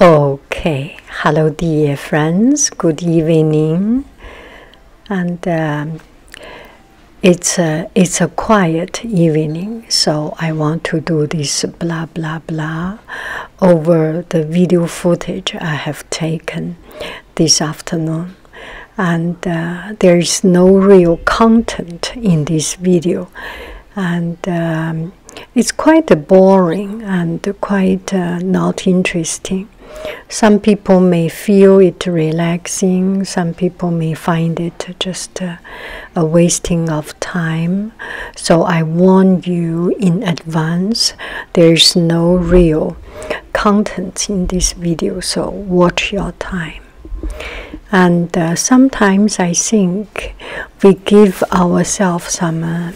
Okay, hello dear friends, good evening. And um, it's, a, it's a quiet evening, so I want to do this blah blah blah over the video footage I have taken this afternoon. And uh, there is no real content in this video. And um, it's quite boring and quite uh, not interesting. Some people may feel it relaxing, some people may find it just uh, a wasting of time. So I warn you in advance, there's no real content in this video, so watch your time. And uh, sometimes I think we give ourselves some uh,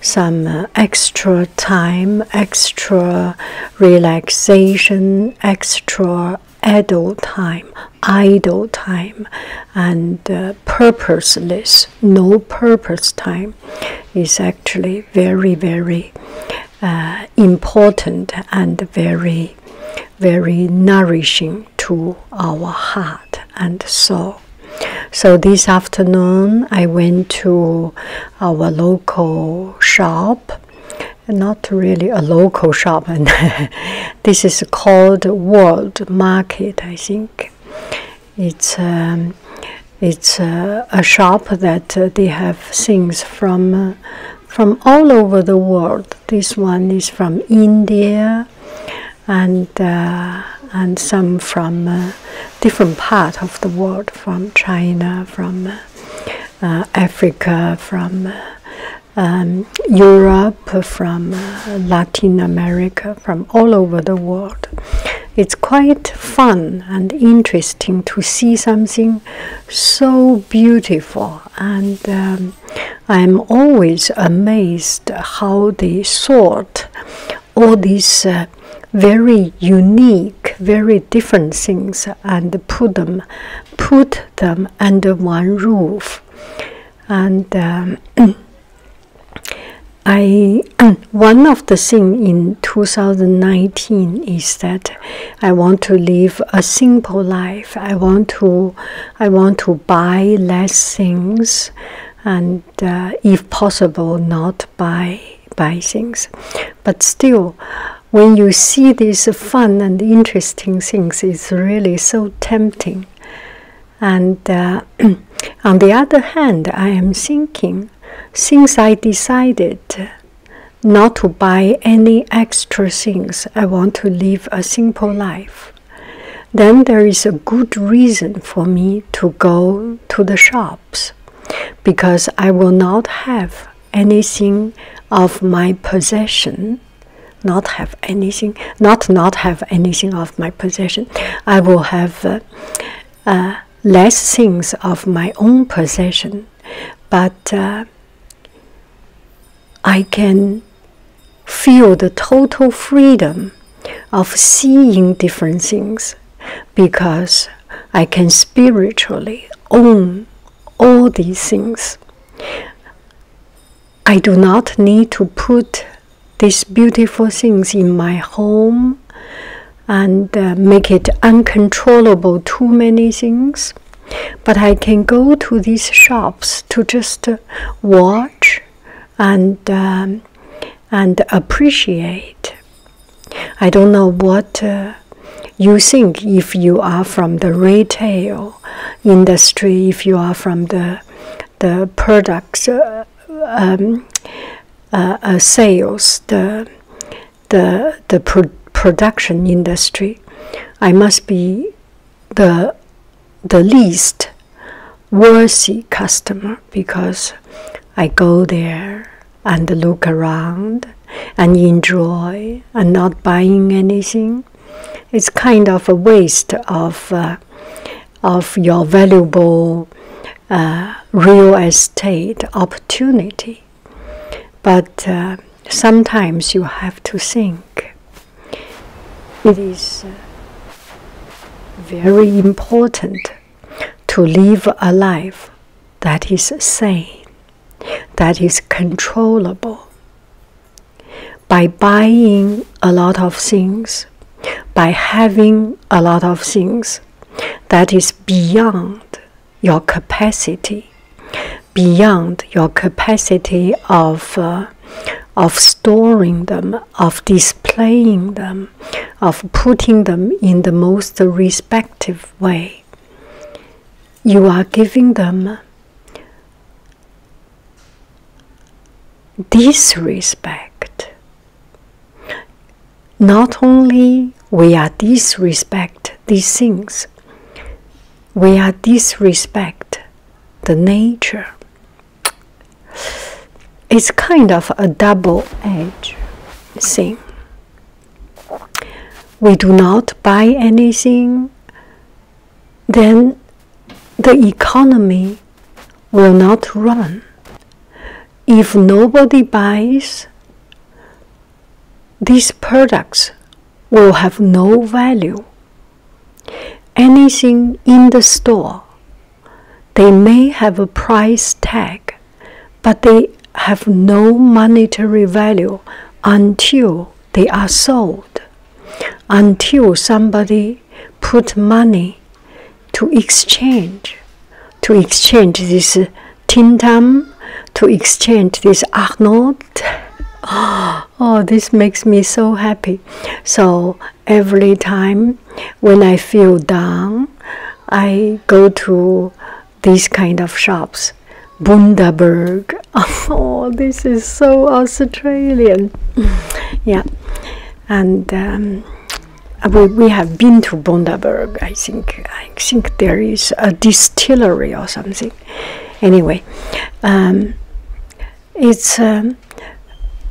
some uh, extra time, extra relaxation, extra idle time, idle time, and uh, purposeless, no purpose time is actually very, very important and very, very nourishing to our heart and so, So this afternoon, I went to our local shop. Not really a local shop, and this is called World Market, I think. It's um, it's uh, a shop that uh, they have things from uh, from all over the world. This one is from India, and uh, and some from uh, different part of the world, from China, from uh, Africa, from um, Europe, from Latin America, from all over the world. It's quite fun and interesting to see something so beautiful and um, I'm always amazed how they sort all these uh, very unique, very different things and put them, put them under one roof. And um, I one of the thing in 2019 is that I want to live a simple life. I want to I want to buy less things and uh, if possible, not buy buy things. But still, when you see these fun and interesting things, it's really so tempting. And uh, on the other hand, I am thinking, since I decided not to buy any extra things, I want to live a simple life then there is a good reason for me to go to the shops because I will not have anything of my possession not have anything not not have anything of my possession I will have uh, uh, less things of my own possession but uh, I can feel the total freedom of seeing different things because I can spiritually own all these things. I do not need to put these beautiful things in my home and uh, make it uncontrollable, too many things. But I can go to these shops to just uh, watch and um, and appreciate. I don't know what uh, you think if you are from the retail industry, if you are from the the products uh, um, uh, sales, the the the production industry. I must be the the least worthy customer because I go there and look around and enjoy and not buying anything. It's kind of a waste of uh, of your valuable uh, real estate opportunity. But uh, sometimes you have to think it is uh, very important to live a life that is sane, that is controllable. By buying a lot of things, by having a lot of things that is beyond your capacity, beyond your capacity of uh, of storing them, of displaying them, of putting them in the most respective way. You are giving them disrespect. Not only we are disrespect these things, we are disrespect the nature it's kind of a double edge thing. We do not buy anything, then the economy will not run. If nobody buys, these products will have no value. Anything in the store they may have a price tag, but they have no monetary value until they are sold, until somebody put money to exchange, to exchange this Tintam, to exchange this Arnold. Oh, this makes me so happy. So every time when I feel down, I go to these kind of shops. Bundaberg. Oh, this is so Australian. Yeah. And um, uh, we, we have been to Bundaberg. I think I think there is a distillery or something. Anyway, um, it's um,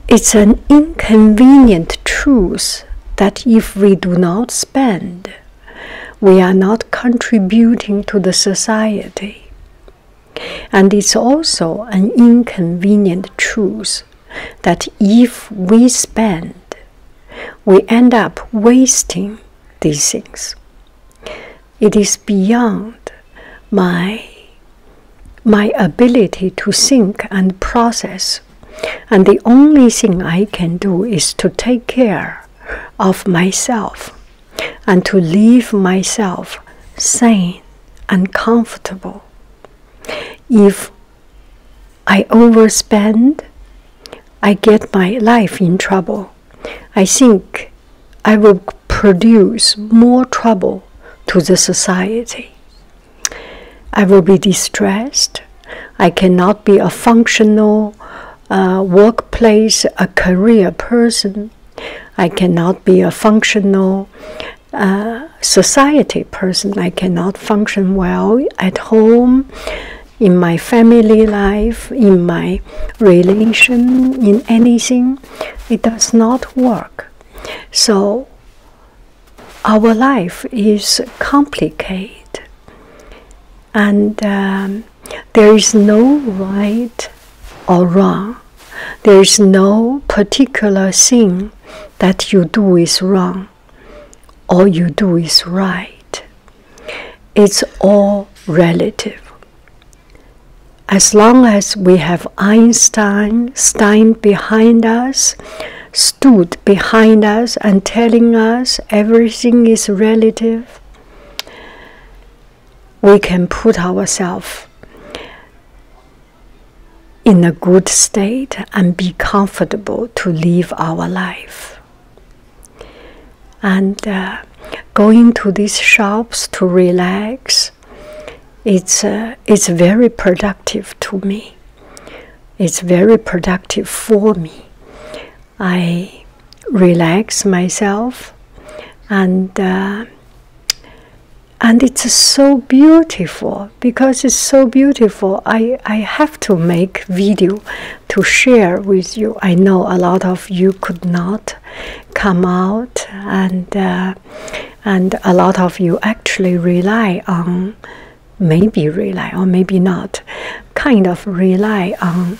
it's an inconvenient truth that if we do not spend, we are not contributing to the society. And it's also an inconvenient truth that if we spend, we end up wasting these things. It is beyond my my ability to think and process. And the only thing I can do is to take care of myself and to leave myself sane and comfortable. If I overspend, I get my life in trouble. I think I will produce more trouble to the society I will be distressed. I cannot be a functional uh, workplace, a career person. I cannot be a functional uh, society person. I cannot function well at home, in my family life, in my relation, in anything. It does not work. So our life is complicated and um, there is no right or wrong. There is no particular thing that you do is wrong All you do is right. It's all relative. As long as we have Einstein stand behind us, stood behind us, and telling us everything is relative. We can put ourselves in a good state and be comfortable to live our life. And uh, going to these shops to relax it's uh, it's very productive to me. It's very productive for me. I relax myself, and uh, and it's so beautiful because it's so beautiful. I I have to make video to share with you. I know a lot of you could not come out and. Uh, and a lot of you actually rely on maybe rely or maybe not kind of rely on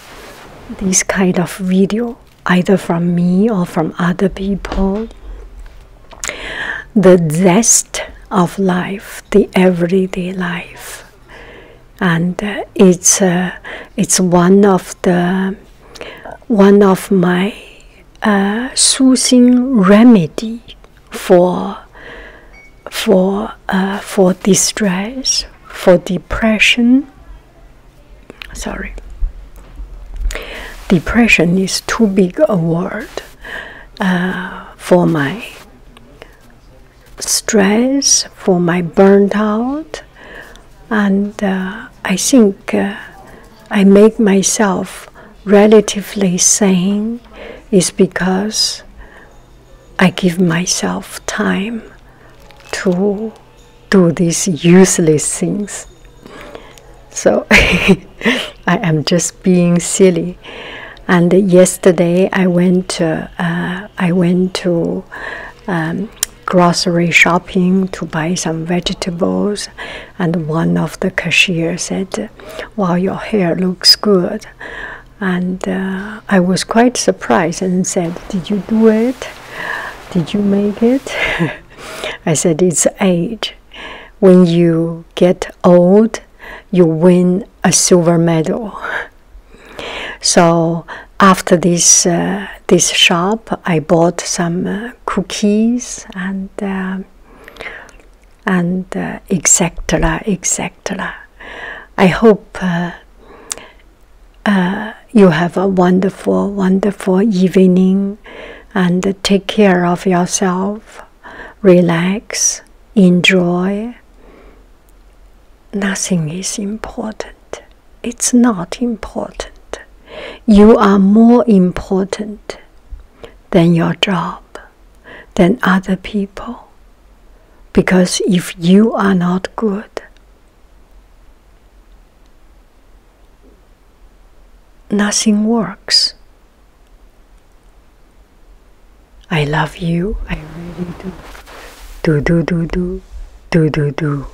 this kind of video either from me or from other people the zest of life the everyday life and uh, it's uh, it's one of the one of my a soothing remedy for for uh, for distress, for depression. Sorry, depression is too big a word uh, for my stress, for my burnt out, and uh, I think I make myself relatively sane is because I give myself time to do these useless things. So I am just being silly. And yesterday I went to, uh, I went to um, grocery shopping to buy some vegetables and one of the cashier said, "Wow, your hair looks good," and uh, I was quite surprised and said, "Did you do it? Did you make it?" I said, "It's age. When you get old, you win a silver medal." So after this uh, this shop, I bought some uh, cookies and and uh, etc. etc. I hope uh, uh, you have a wonderful, wonderful evening and take care of yourself, relax, enjoy. Nothing is important. It's not important. You are more important than your job, than other people. Because if you are not good, nothing works. I love you, I really do. Do, do, do, do, do, do, do.